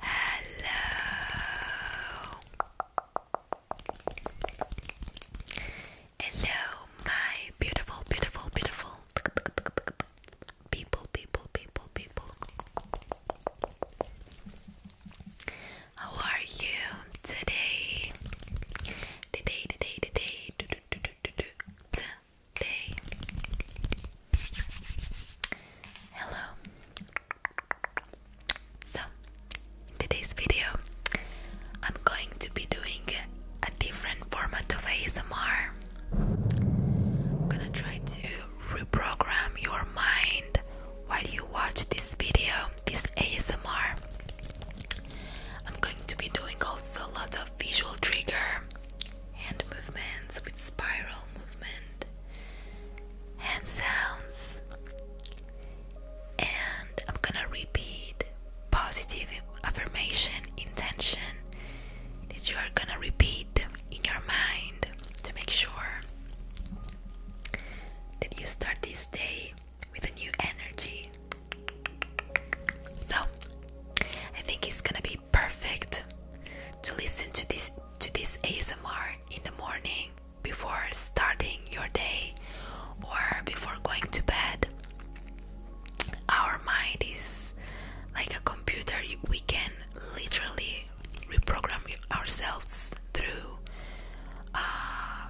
Hello. Hello, my beautiful, beautiful, beautiful people, people, people, people. How are you today? Today, today, today. Do, do, do, do, do, day. Hello. So, in today's video, I'm going to be doing a different format of ASMR. I'm gonna try to reprogram your mind while you watch this video, this ASMR. I'm going to be doing also a lot of visual trigger, hand movements with spiral movement, hand sounds, and I'm gonna repeat positive affirmation intention that you are gonna repeat in your mind to make sure that you start this day with a new energy. So I think it's gonna be perfect to listen to this to this ASMR in the morning before starting your day or before going to bed. Our mind is like a computer. We can literally reprogram ourselves through uh,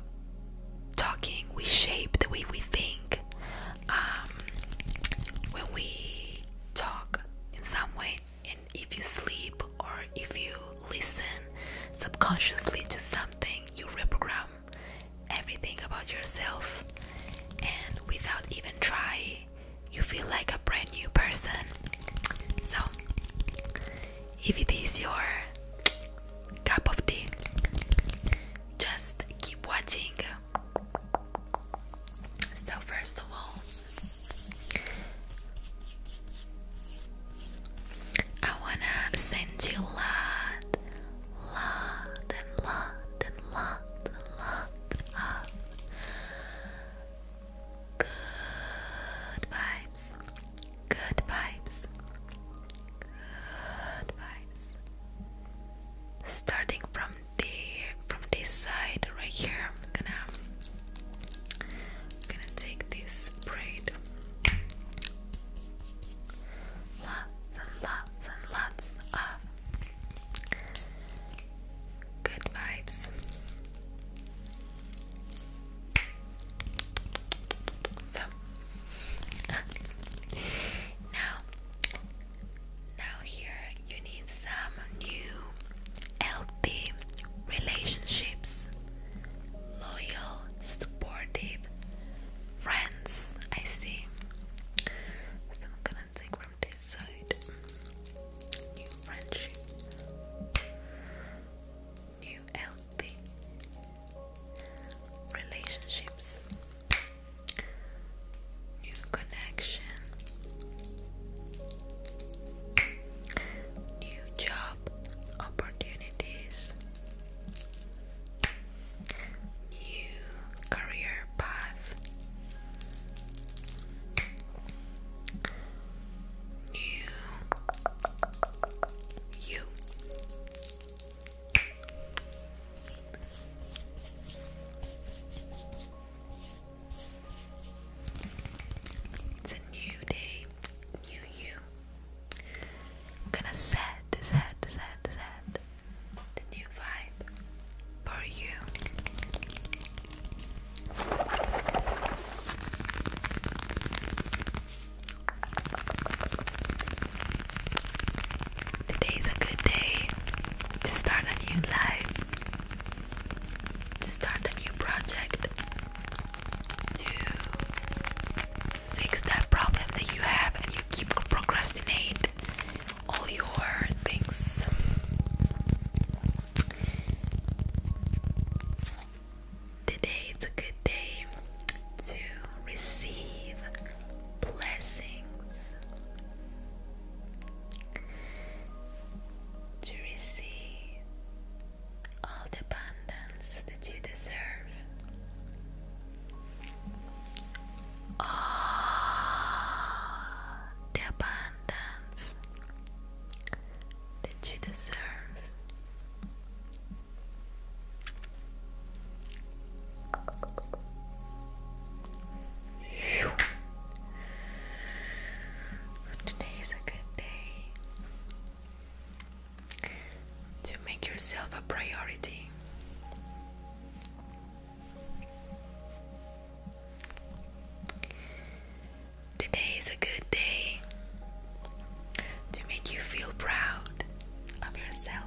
talking, we shape the way we think. Um, when we talk in some way, and if you sleep or if you listen subconsciously to something, you reprogram everything about yourself, and without even trying, you feel like a brand new person. So, if it is your cup of tea, just keep watching. So, first of all, I wanna send you lot, lot, and lot, and lot, and lot of good vibes. Good vibes. Good vibes. Starting from the from this side right here, I'm gonna I'm gonna take this braid. Lots and lots and lots of good vibes. So now, now here you need some new healthy relationships, loyal, supportive friends. I see. So I'm gonna take from this side new friendships new healthy relationships, new connection, new job opportunities, new career path. New you it's a new day, new you. I'm gonna set, set, set, set the new vibe for you. Today's a good day to start a new life, to start a new project, to fix that problem that you have and you keep procrastinate all your things. Today is a good day to receive blessings, to receive all the abundance that you deserve. All the abundance did you deserve. Today is a good day to make yourself a priority. Today is a good day to make you feel proud of yourself.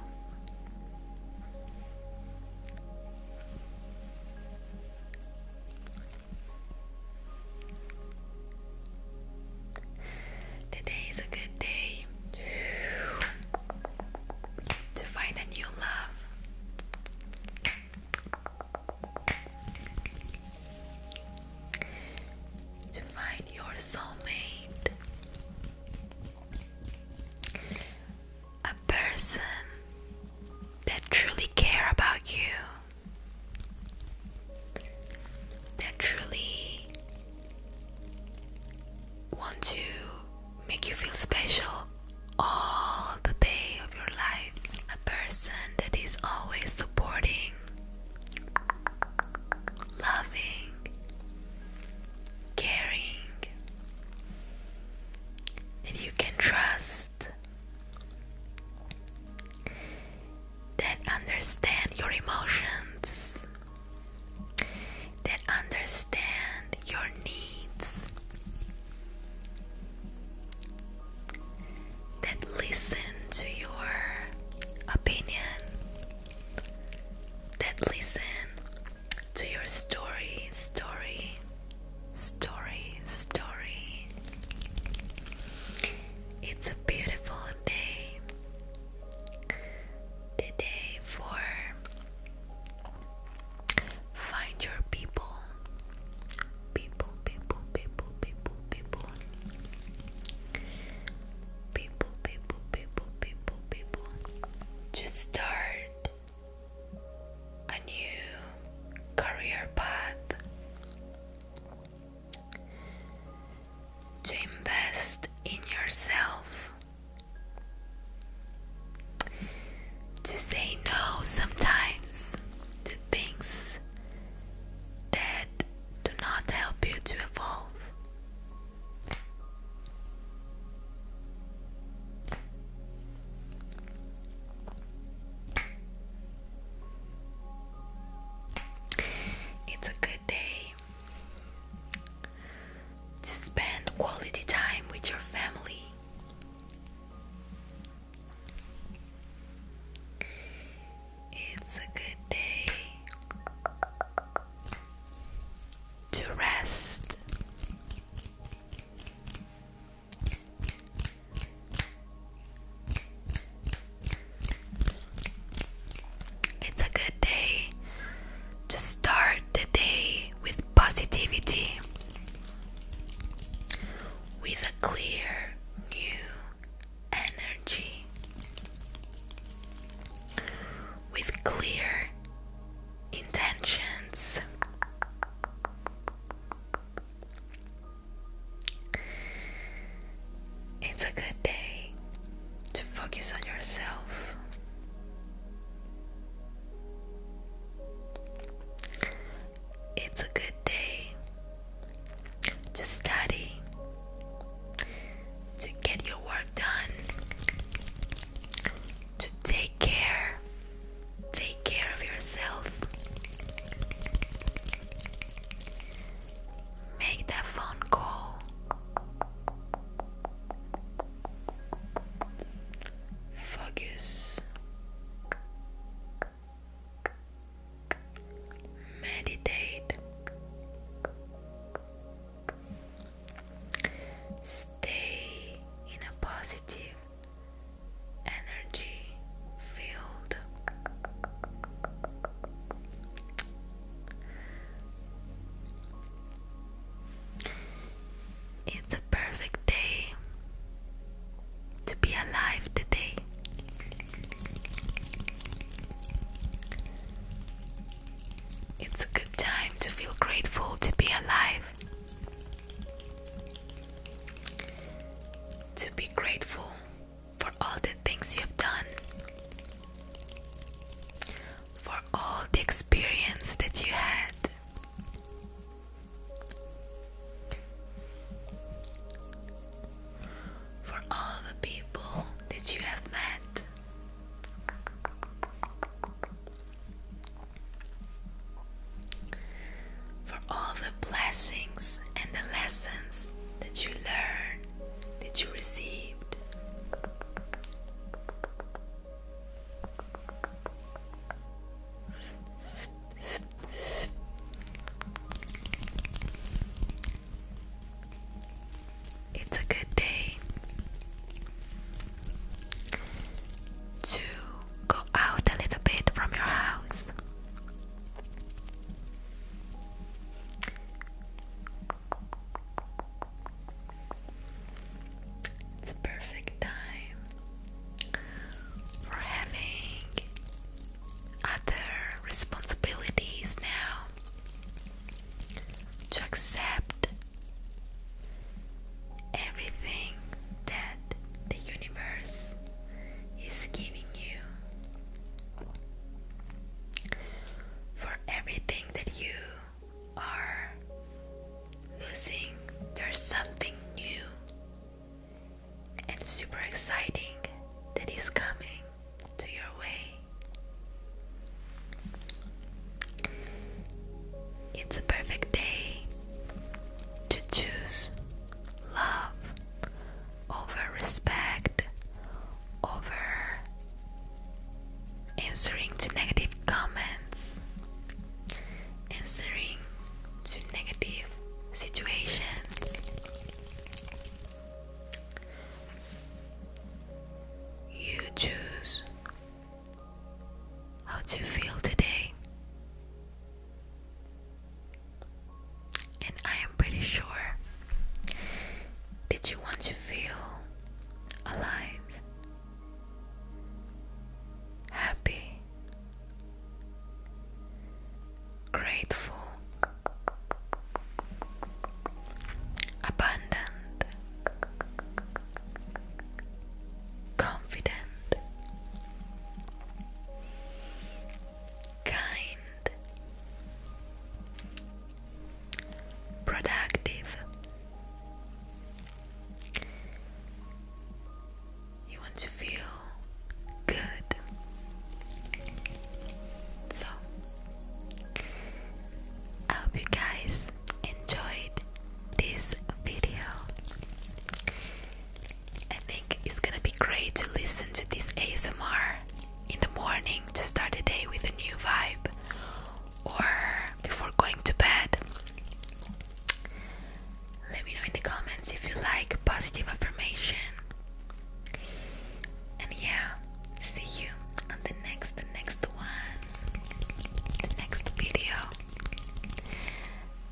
Today is a good day to find a new love to find your soulmate, a person that truly care about you, that truly want to make you feel special all the day of your life, a person that is always supporting loving, caring, and you can trust that understand your emotions, that understand your needs that listen to your opinion, that listen to your story, story, story, story. It's a beautiful day. The day for find your people, people, people, people, people, people, people, people, people, people, people, to start a new career path, to invest in yourself. To say no sometimes to things that do not help you to evolve. It's a good day to spend quality time with your family. It's a good day to rest. It's a good day to start the day with positivity with a clear new energy, with clear intentions. It's a good day to focus on yourself. It's a good day to study, to get your work done, to take care, take care of yourself. Make that phone call focus, meditate, stay in a positive energy field. It's a perfect day to be alive today. It's a good time to feel grateful to be alive. To be grateful for all the things you have done, for all the experience that you had, for all the people that you have met. For all the blessings and the lessons that you learned, that you received. It's a good day to go out a little bit from your house. It's a perfect time for having other responsibilities now to accept everything that the universe is giving you for everything that you are losing there's something new and super exciting that is coming to your way. It's a perfect day to choose love over respect over answering to negative comments, answering to negative situations. You choose how to feel today, and I am pretty sure that you want to feel alive happy, grateful, abundant, confident, kind productive. You want to feel good. So, I hope you guys enjoyed this video. I think it's gonna be great to listen to this ASMR in the morning to start the day with a new vibe, or before going to bed. Let me know in the comments if you like positive affirmation. And yeah, see you on the next the next one. The next video.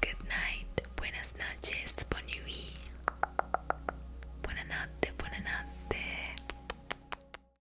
Good night. Buenas noches. Bon nuit. Buonanotte. Buonanotte.